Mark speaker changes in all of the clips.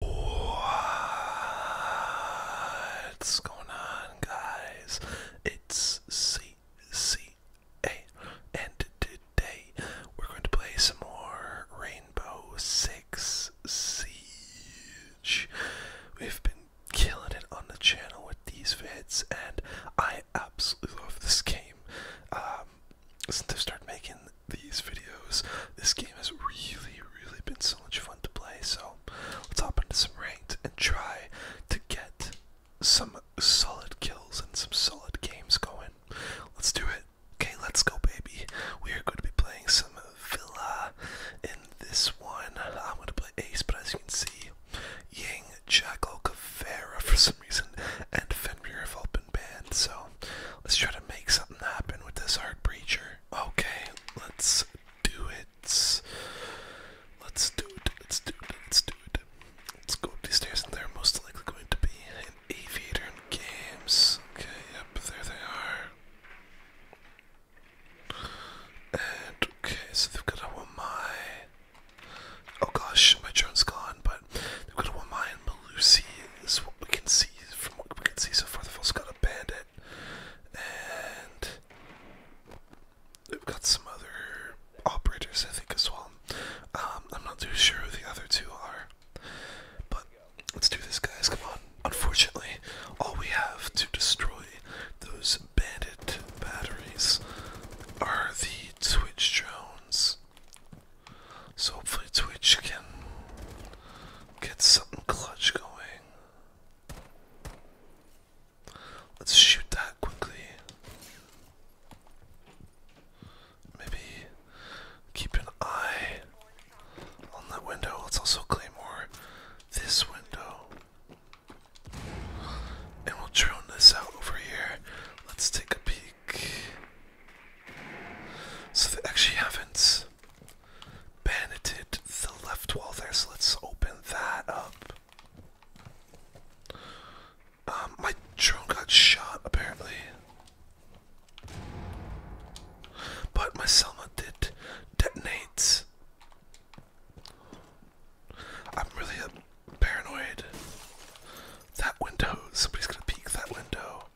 Speaker 1: What's going on, guys? It's CCA, and today we're going to play some more Rainbow Six Siege. We've been killing it on the channel with these vids, and I absolutely love this game. Um, since i started making these videos. This game has really, really been so much fun to play. So let's hop into some ranked and try to get some solid kills and some solid games going. Let's do it. Okay, let's go, baby. We are going to be playing some Villa in this one. I'm going to play Ace, but as you can see, Ying, Jackal, Kavera for some reason, and Fenrir have all been banned. So let's try to make something happen with this Hard preacher. Okay, let's do it. Let's do it. Let's do it. Let's do it. Let's go up these stairs, and they're most likely going to be an aviator in games. Okay, yep, there they are. And okay, so they've got a one Wamai. Oh gosh, my drone's gone, but they've got a Wamai and Malusi is what we can see from what we can see so far. The fool's got a bandit, and we've got some other operators, I think, as well. Um, I'm not too sure who the other two are, but let's do this, guys. Come on. Unfortunately, all we have to destroy those bandit batteries are the Twitch drones. So hopefully Twitch can get something clutch going. Let's shoot that quickly. Maybe keep an eye on that window. Let's also claim more this window. And we'll drone this out over here. Let's take a peek. So they actually haven't Banneted the left wall there, so let's open that up. Um, my drone got shot apparently. But my Selma did detonate. I'm really uh, paranoid. That window, somebody's gonna peek that window.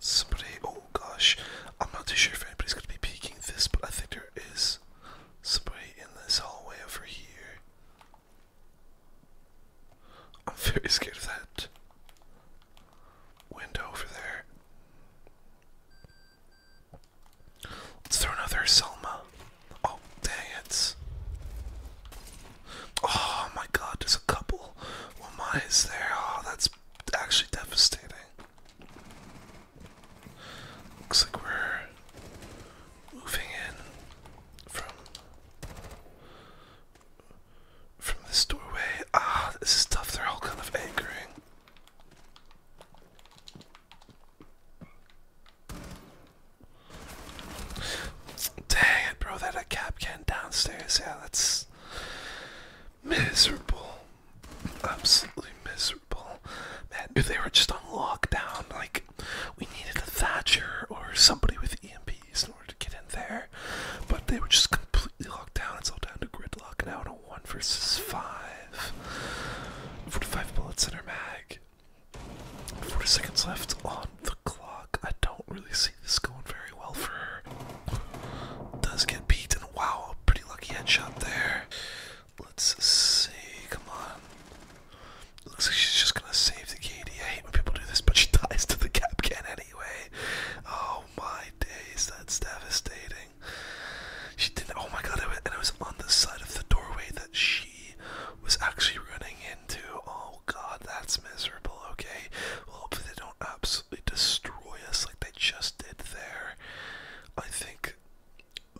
Speaker 1: Somebody, oh gosh, I'm not too sure if anybody's going to be peeking this, but I think there is somebody in this hallway over here. I'm very scared of that window over there. Let's throw another Selma. Oh, dang it. Oh my god, there's a couple. Well, mine is there. Oh, that's actually devastating. Looks like we're moving in from from this doorway. Ah, this is tough. They're all kind of anchoring. Dang it, bro, that a cap can downstairs. Yeah, that's miserable. Absolutely miserable. Man, if they were just on lockdown, like we needed a Thatcher or somebody with EMPs in order to get in there. But they were just completely locked down. It's all down to gridlock now in a one versus five. Forty-five bullets in her mag. 40 seconds left on the clock. I don't really see this going very well for her. Does get beat, and wow, a pretty lucky headshot there. Let's see, come on. Looks like she's just gonna save the Katie. I hate when people do this, but she dies to the cap can anyway. Oh my days, that's devastating. She didn't. Oh my god, and it was on the side of the doorway that she was actually running into. Oh Oh, god, that's miserable. Okay, well, hopefully they don't absolutely destroy us like they just did there. I think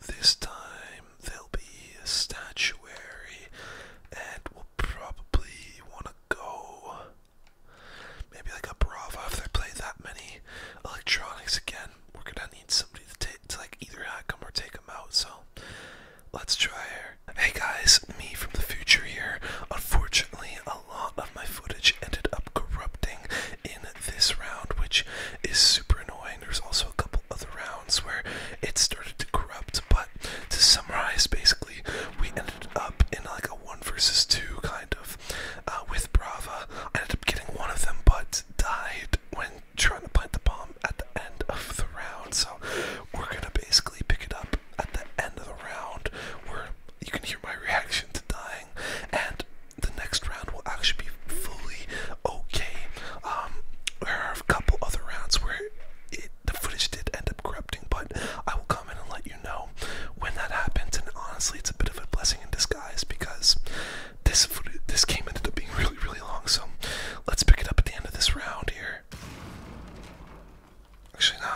Speaker 1: this time there'll be a statuary, and we'll probably want to go maybe like a Brava if they play that many electronics again. We're gonna need somebody to, take, to like either hack them or take them out. So Let's try her. Hey guys, me from the future here. Unfortunately, a lot of my footage ended up corrupting in this round, which is super annoying. There's also a couple other rounds where it started to corrupt, but to summarize, basically, we ended up in like a one versus two kind of uh, with Brava. I ended up getting one of them, but died when trying to plant the bomb at the end of the round. So we're gonna basically pick it up at the end of the round where you can hear my reaction to dying, and the next round will actually be fully okay. Um, there are a couple other rounds where the footage did end up corrupting, but I will come in and let you know when that happens. And honestly, it's a bit of a blessing in disguise because this footage, this game ended up being really, really long. So let's pick it up at the end of this round here. Actually, no.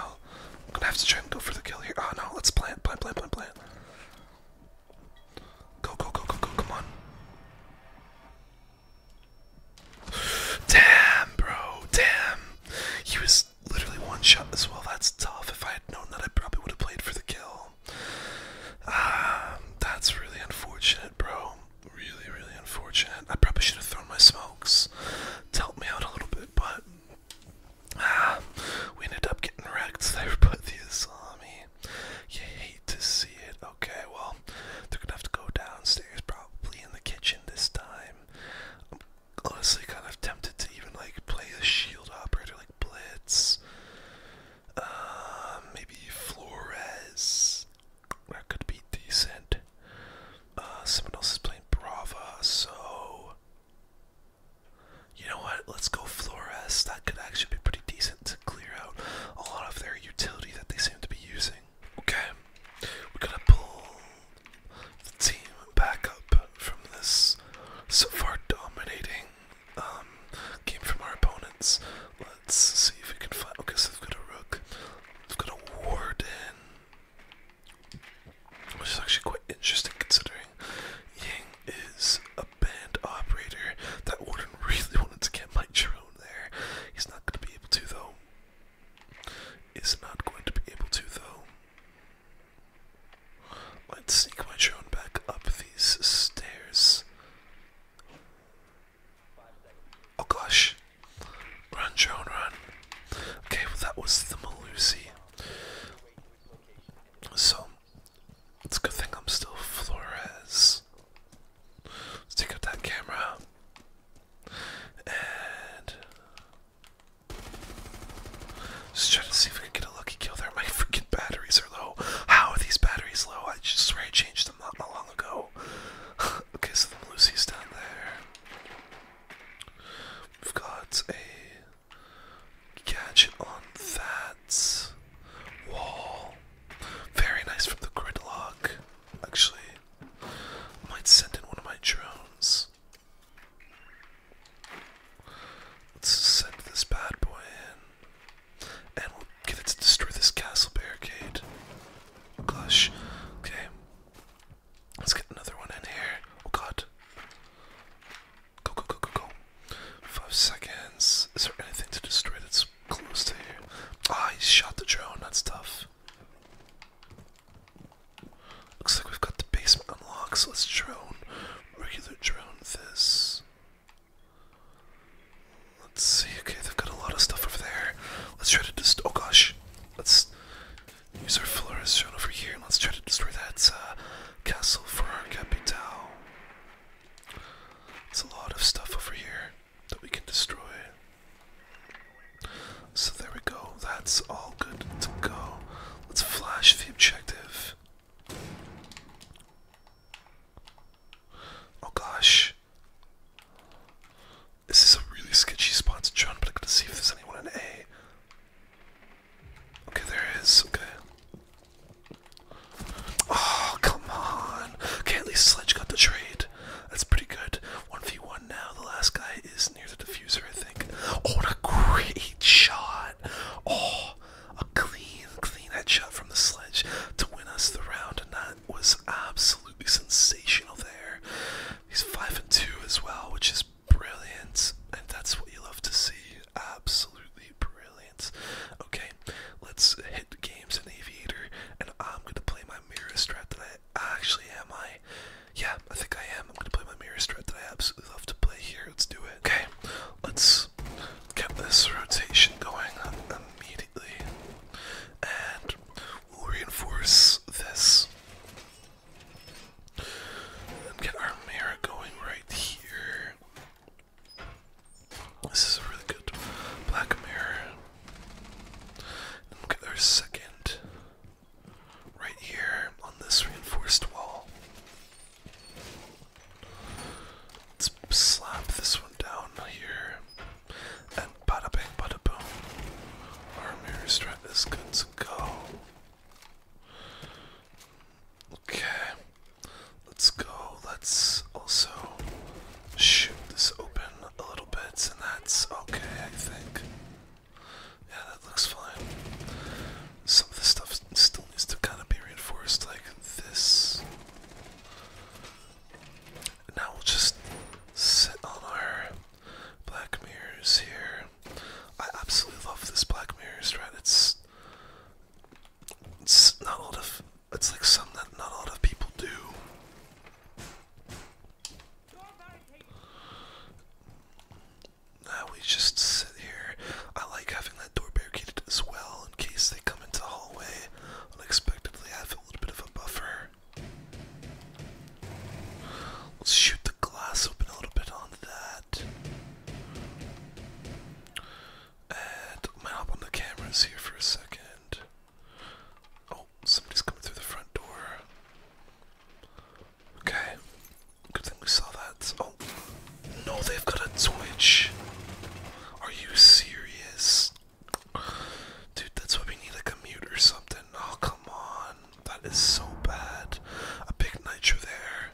Speaker 1: I'm gonna have to try and go for the kill here. Oh no, let's plant, plant, plant, plant, plant. Go, go, go, go, go, come on. Damn, bro, damn. He was literally one shot as well. That's tough. If I had known that, I probably would have played for the kill. Ah, that's really unfortunate, bro really, really unfortunate. I probably should have thrown my smokes to help me out a little bit, but ah, we ended up getting wrecked there by the Islami. You hate to see it. Okay, well, they're gonna have to go downstairs, probably in the kitchen this time. I'm honestly kind of tempted to even like play a shield operator like Blitz. Um, maybe Flores that could be decent. Uh, someone else is playing Brava, so you know what? Let's go Flores. That could actually be pretty decent to clear out a lot of their utility that they seem to be using. Okay, we're gonna pull the team back up from this so far dominating um, game from our opponents. Let's see if we can find. Okay, so they've got a rook. They've got a warden, which is actually quite interesting considering Ying is a band operator. That warden really wanted to get my drone there. He's not going to be able to though. Is not going to be able to though. Let's sneak my drone back up these stairs. Oh gosh. Run, drone, run. Okay, well, that was the Malusi. So, it's a good thing I'm still Flores. Let's take out that camera. And. Just trying to see if we can get a lucky kill there. My freaking batteries are low. How are these batteries low? I just swear I changed them not long ago. okay, so the Lucy's down there. We've got a gadget on that wall. Very nice from the gridlock. Actually, might send in one of my drones. Let's send this bad boy in. Okay, let's destroy this castle barricade. Gosh. Okay. Let's get another one in here. Oh god. Go, go, go, go, go. Five seconds. Is there anything to destroy that's close to you? Ah, he shot the drone. That's tough. Looks like we've got the basement unlocked, so let's drone. Regular drone this. Let's see. Okay, they've got a lot of stuff over there. Let's try to destroy. Oh gosh. Let's use our flora shown over here and let's try to destroy that uh, castle for our capital. It's a lot of stuff over here that we can destroy. So there we go. That's all good to go. Let's flash the objective. Oh gosh. This is a really sketchy spot to John, but I'm gonna see if there's anyone in A. Okay, there is, okay. Oh, come on. Okay, at least Sledge got the trade. That's pretty good. 1v1 now. The last guy is near the diffuser, I think. Oh, what a great shot. Oh, a clean, clean headshot from the Sledge to win us the round and not was absolutely sensational there. He's five and two as well, which is brilliant, and that's what you love to see. Absolutely brilliant. Okay, let's hit games in Aviator, and I'm gonna play my mirror strat that I actually am. I, yeah, I think I am. I'm gonna play my mirror strat that I absolutely love to play here. Let's do it. Okay, let's get this rotation going immediately and we'll reinforce this get our mirror going right here. This is a really good black mirror. And we get our second right here on this reinforced wall. Let's slap this one down here. And bang, bing, bada boom. Our mirror strut is good to go. Okay, let's go. Let's also shoot this open a little bit, and that's okay, I think. Yeah, that looks fine. Some of this stuff still needs to kind of be reinforced, like this. Now we'll just sit on our black mirrors here. I absolutely love this black mirror right? It's it's not a lot of it's like some that not a lot of people do. Now we just sit here. I like having that door barricaded as well in case they come into the hallway unexpectedly a little bit of a buffer. Let's shoot the glass open a little bit on that. And I might hop the cameras here for a second. Oh, somebody's coming through the front door. Okay. Good thing we saw that. Oh, no, they've got a Twitch. Are you serious? Dude, that's why we need a mute or something. Oh, come on. That is so bad. A big nitro there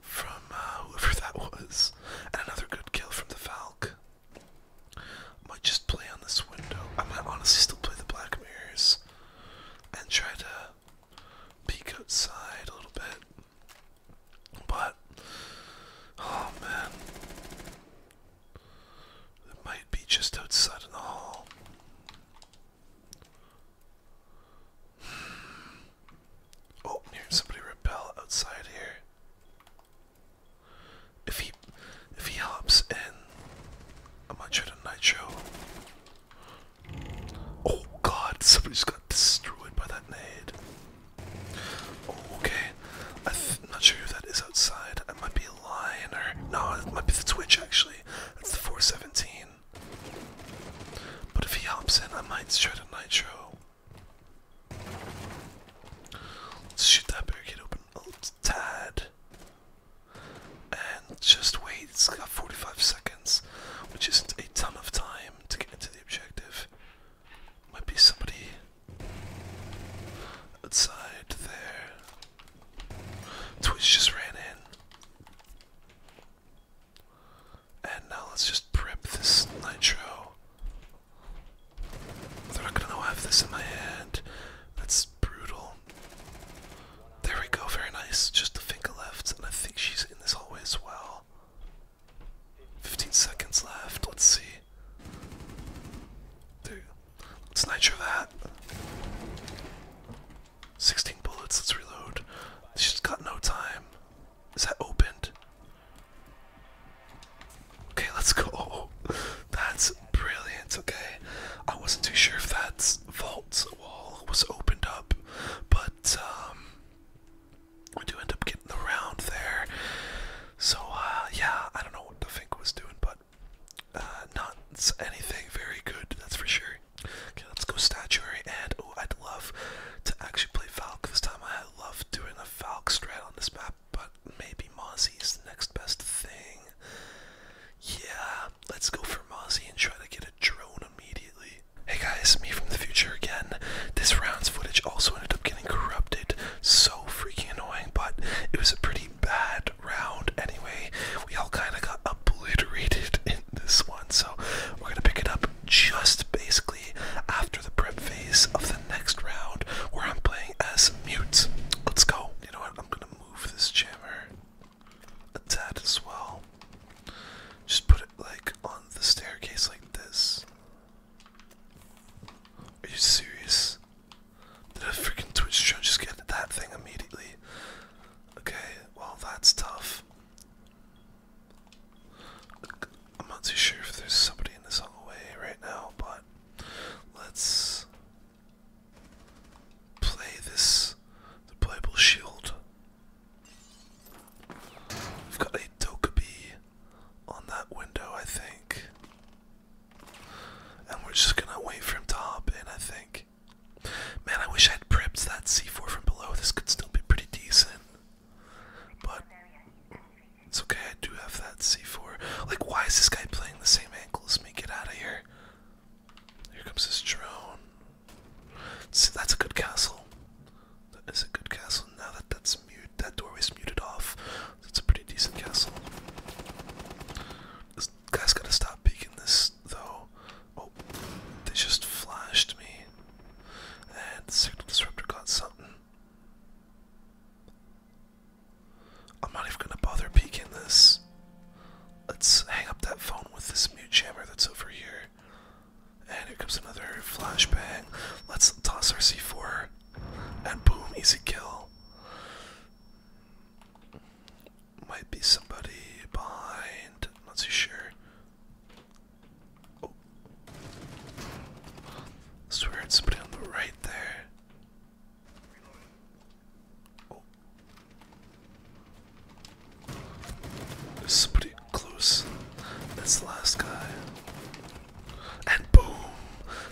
Speaker 1: from uh, whoever that was. And another good kill from the Falc. Might just play on this window. I might honestly still play the Black Mirrors and try to peek outside a little bit. But, oh man. It might be just outside in the hall. Hmm. Oh, i somebody repel outside here. If he if he hops in, I'm gonna try to Oh god, somebody has got destroyed by that nade. Okay, I'm not sure if that is outside. I might be lying, or no, it might be the Twitch actually. It's the 417. But if he hops in, I might try to nitro. Let's shoot that barricade open a little tad. And just wait, it's got 45 seconds, which isn't a ton of time to get into the objective. Might be somebody outside there. Twitch just ran in. And now let's just prep this nitro. They're not gonna know I have this in my hand. That's brutal. There we go, very nice. Just a finger left, and I think she's in this hallway as well. 15 seconds left. Let's see. Dude, let's nitro that. 16 bullets. Let's reload. She's got no time. Is that opened? Okay, let's go. That's brilliant. Okay, I wasn't too sure if that vault wall was opened up, but um, I do end up getting around there. So, uh, yeah, I don't know what the Fink was doing, but uh, not anything very good, that's for sure. Okay, let's go statuary, and oh, I'd love to actually play Falcon this time. I love doing a Falcon strat on this map, but maybe Mozzie is the next best thing. Yeah, let's go for Mozzie and try to get a drone immediately. Hey guys, me from the future again. This round's footage also ended up getting corrupted, so freaking annoying, but it was a pretty bad round anyway. We all kind of got obliterated in this one, so we're gonna pick it up just basically after the prep phase of the next round where I'm playing as mutes. Let's go. You know what? I'm gonna move this jammer a tad as well. Just put it like on the staircase like this. Are you serious? Did a freaking Twitch show just get that thing immediately? Okay, well that's tough. I'm not too sure if there's somebody in this on right now, but let's play this the playable shield. We've got a Dokubi on that window, I think. And we're just gonna wait for him to hop in, I think. Man, I wish I had prepped that C4 from below. This could still be pretty decent. But it's okay, I do have that C4. Like, why is this guy playing the same angle as me? Get out of here. Here comes this drone. See, that's a good castle. That is a good castle. Now that that's muted, that doorway's muted off. That's a pretty decent castle. This guy's gotta stop peeking this, though. Oh, they just flashed me. And the signal disruptor got something. I'm not even gonna bother peeking this. Let's hang up that phone with this mute jammer that's over here. And here comes another flashbang. Let's toss our C4 and boom, easy kill. Might be somebody behind. Not too sure. Oh. Swear it's somebody on the right there. Oh. There's somebody close. That's the last guy. And boom!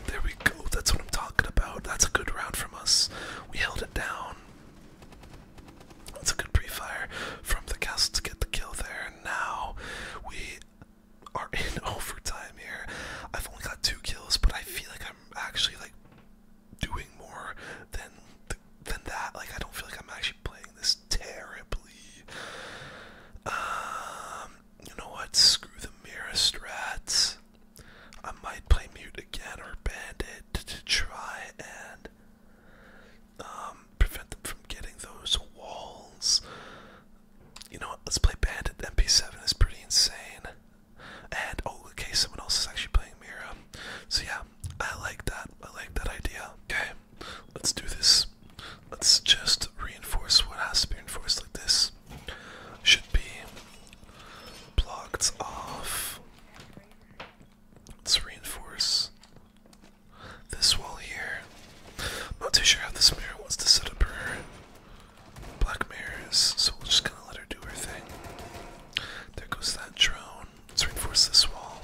Speaker 1: There we go. That's what I'm talking about. That's a good round from us. We held it down. That's a good pre-fire from the castle to get the kill there. And now we are in overtime here. I've only got two kills, but I feel like I'm actually like doing more than than that. Like I don't feel like I'm actually playing this terribly. Um, you know what? Screw the mirror strats. I might play mute again or bandit to try and um, prevent them from getting those walls. You know what? Let's play bandit. MP7 is pretty insane. And oh, okay, someone else is actually playing mirror. So yeah, I like that. I like that idea. Okay. Let's do this. Let's just reinforce what has to be reinforced like this. Should be blocked off. Let's reinforce this wall here. not too sure how this mirror wants to set up her black mirrors, so we'll just kind of let her do her thing. There goes that drone. Let's reinforce this wall.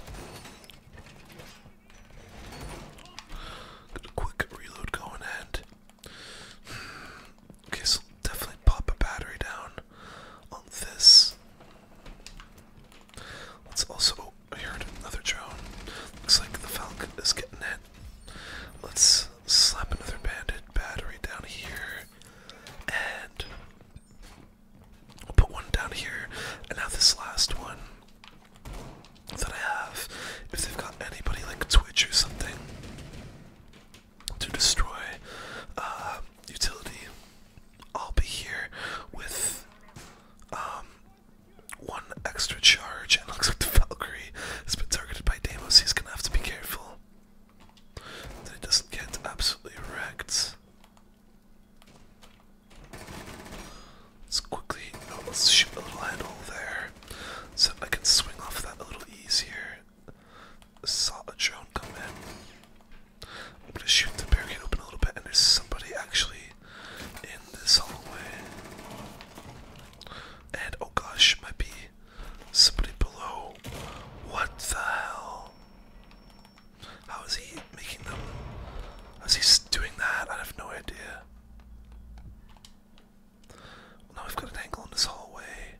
Speaker 1: Got a quick reload going and hmm. okay, so definitely pop a battery down on this. Let's also oh, I heard another drone. Looks like the Falcon is getting it. Let's slap another bandit battery down here and we'll put one down here and now this last one that I have, if they've got anybody like Twitch or something to destroy uh, utility, I'll be here with um, one extra charge. And looks like the Valkyrie has been targeted by Deimos. He's gonna have to be careful that it doesn't get absolutely wrecked. Let's quickly, oh, let's shoot a little handle there, so I can swing off that a little easier. I saw a drone come in. I'm gonna shoot the barricade open a little bit, and there's somebody actually in this hallway. And oh gosh, might be somebody below. What the hell? How is he making them? How's he doing that? I have no idea now we've got an angle on this hallway.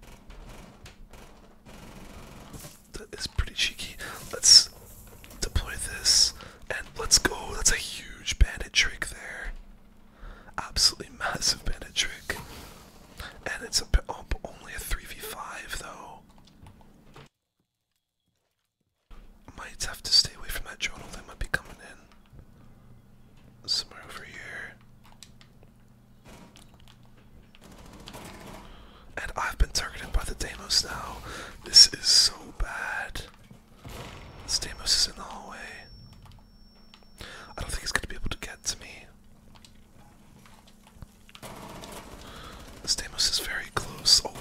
Speaker 1: That is pretty cheeky. Let's deploy this and let's go. That's a huge bandit trick there. Absolutely massive bandit trick. And it's oh, only a 3v5 though. Might have to stay away from that journal, they might be coming in. Somewhere over here. And I've been targeted by the Deimos now. This is so bad. The Deimos is in the hallway. I don't think he's gonna be able to get to me. The Deimos is very close. Oh,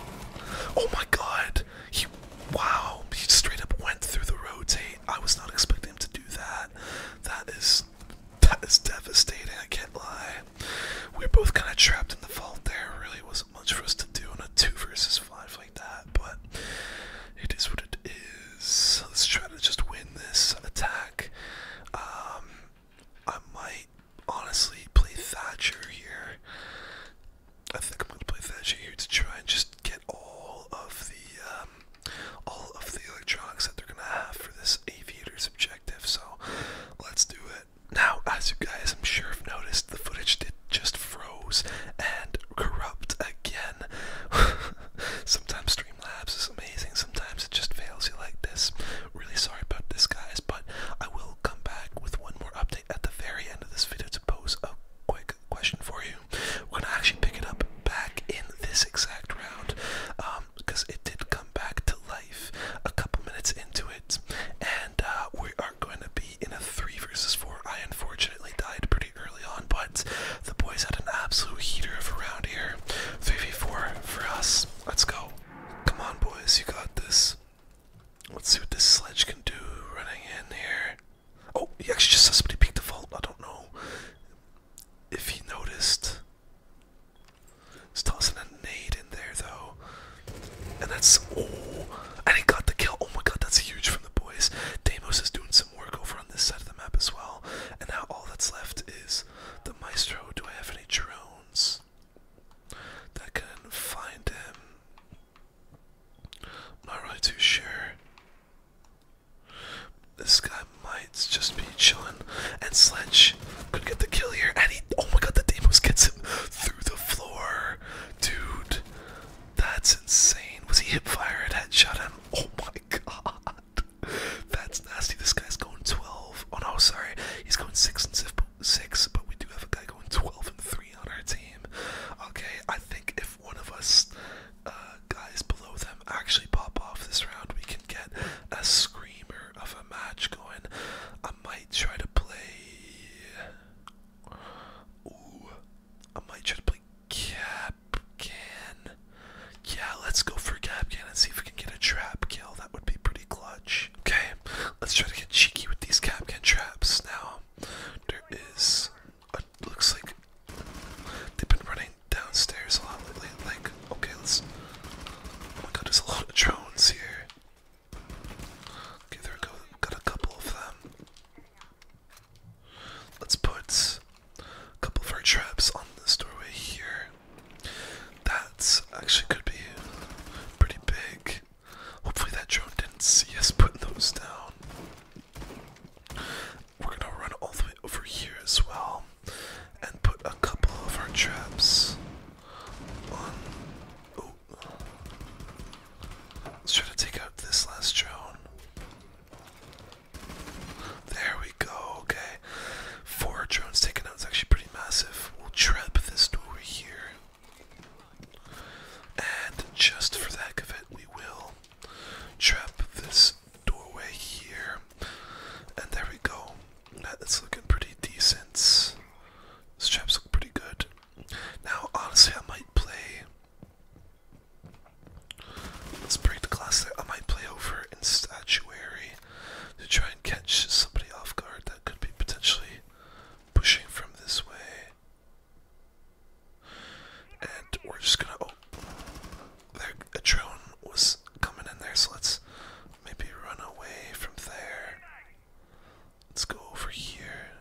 Speaker 1: oh my god! He, wow, he straight up went through the rotate. I was not expecting him to do that. That is, that is devastating. I can't lie. We are both kind of trapped in the vault there. Really wasn't much for us to do in a two versus five like that. But it is what it is. Let's try to just win this attack. Um, I might honestly play Thatcher here. I think I'm going to play Thatcher here to try and just get all of the um, all of the electronics that they're going to have for this aviator's objective. So let's do it. Now, as you guys I'm sure have noticed, the footage did just froze and corrupt again. sometimes Streamlabs is amazing, sometimes it just fails you like this. Really sorry about this, guys, but I will come back with one more update at the very end of this video to pose a quick question for you. We're gonna actually pick it up back in this exact round because um, it did come back to life a couple minutes into it, and uh, we are going to be in a three versus four. I unfortunately died pretty early on, but the boys had an absolute heater of a round here. Three v four for us. Let's go. Come on, boys, you got this. Let's see what this sledge can do running in here. Oh, he actually just saw somebody peek the vault. I don't know if he noticed. He's tossing a nade in there though. And that's oh and he got the kill. Oh my god, that's huge from the boys. Deimos is doing some work over on this side of the map as well. And now all that's left is the maestro. Do I have any drones that can find him? I'm not really too sure. This guy might just be chilling. And Sledge could get the kill here. And he. Oh my god, the Deimos gets him through the floor. Dude, that's insane. Was he hip fired? Headshot him. Oh my god. That's nasty. This guy's going 12. Oh no, sorry. He's going 6 and Ziff, six, but we do have a guy going 12 and 3 on our team. Okay, I think if one of us uh, guys below them actually pop off this round, we can get a screamer of a match going. I might try to play. Ooh, I might try to play Capcan. Yeah, let's go for Cap Can and see if we can get a trap kill. That would be pretty clutch. Okay, let's try to get cheeky with these Cap Can traps now there is a, looks like they've been running downstairs a lot lately. Like, okay, let's. Oh my god, there's a lot of drones here. Okay, there go. got a couple of them. Let's put a couple of our traps on this doorway here. That actually could be pretty big. Hopefully that drone didn't see us putting those down. We're gonna run all the way over here as well and put a couple of our traps on. Oh. Let's try to take out this last drone. There we go, okay. Four drones taken out is actually pretty massive. We'll trap this door over here. And just for the heck of it, we will trap this doorway here. And there we go. That's looking pretty decent. These traps look pretty good. Now, honestly, I might play. Let's break the glass there. I might play over in statuary to try and catch somebody off guard that could be potentially pushing from this way. And we're just gonna. Oh, there, a drone was coming in there, so let's maybe run away from there. Let's go over here.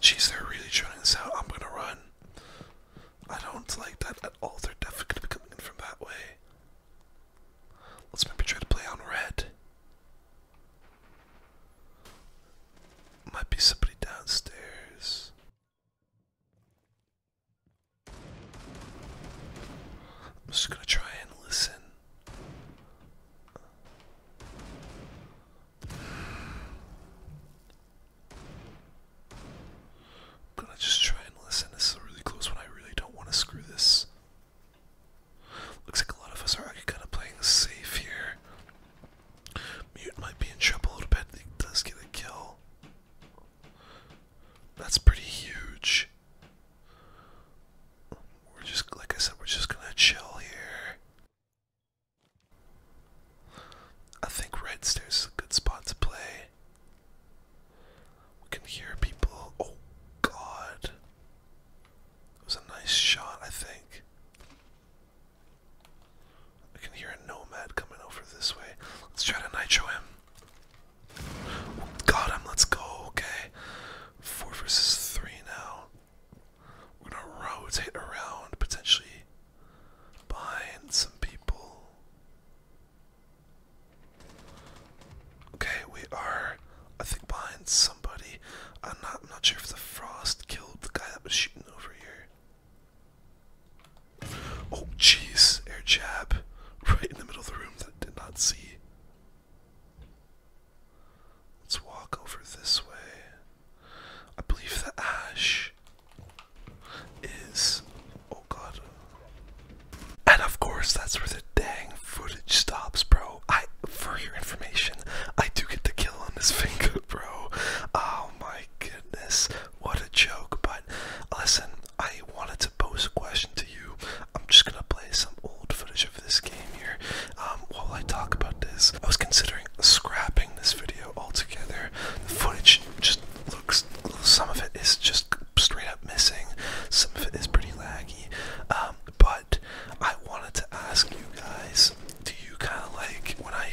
Speaker 1: Jeez, they're really trying this out. I'm gonna run. I don't like that at all. They're definitely gonna be coming in from that way. Let's maybe try to play on red. Might be somebody downstairs. I'm just gonna try and listen. I'm gonna just try and listen. This is a really close one. I really don't want to screw this. Looks like a lot of us are kind of playing safe here. Mute might be in trouble a little bit. He does get a kill. That's pretty huge. We're just, like I said, we're just gonna chill here. I think right stairs is a good spot to play. We can hear people. Oh god. It was a nice shot, I think. I can hear a nomad coming over this way. Let's try to nitro him. Got him, let's go, okay. Four versus three now. We're gonna rotate around, potentially behind some people. Okay, we are, I think, behind somebody. I'm not, I'm not sure if the frost killed the guy that was shooting over here. Oh, jeez, air jab, right in the middle of the room that I did not see. Let's walk over this way. I believe the ash is oh god. And of course that's where the dang footage stops, bro. I for your information, I do get the kill on this finger, bro. Oh my goodness, what a joke. But listen, I wanted to pose a question to you. I'm just gonna play some old footage of this game here. Um, while I talk about this, I was considering scrapping this video altogether. The footage just looks some of it is just straight up missing. Some of it is pretty laggy. Um, but I wanted to ask you guys, do you kind of like when I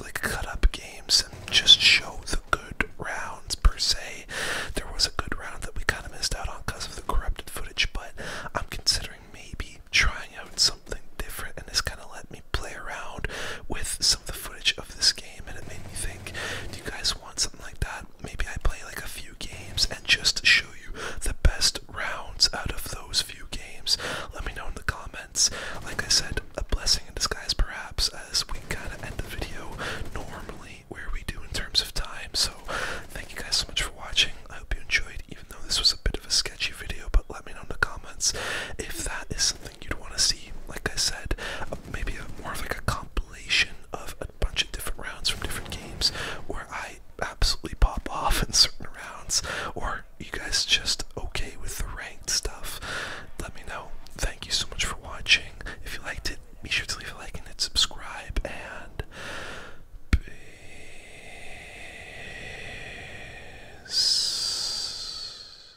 Speaker 1: like cut up games and just show the good rounds per se? There was a good round that we kind of missed out on because of the corrupted footage, but I'm considering maybe trying out something different, and this kind of let me play around with some of the footage of this game and it made me think, do you guys want something like that? Maybe I play like a few games and just show you the best rounds out of those few games. Let me know in the comments. Like I said, a blessing in disguise perhaps, as we kind of end the video normally where we do in terms of time. So thank you guys so much for watching. I hope you enjoyed, even though this was a bit of a sketchy video, but let me know in the comments if that is you'd want to see. Like I said, maybe a, more of like a compilation of a bunch of different rounds from different games where I absolutely pop off in certain rounds, or you guys just okay with the ranked stuff. Let me know. Thank you so much for watching. If you liked it, be sure to leave a like and hit subscribe. And peace.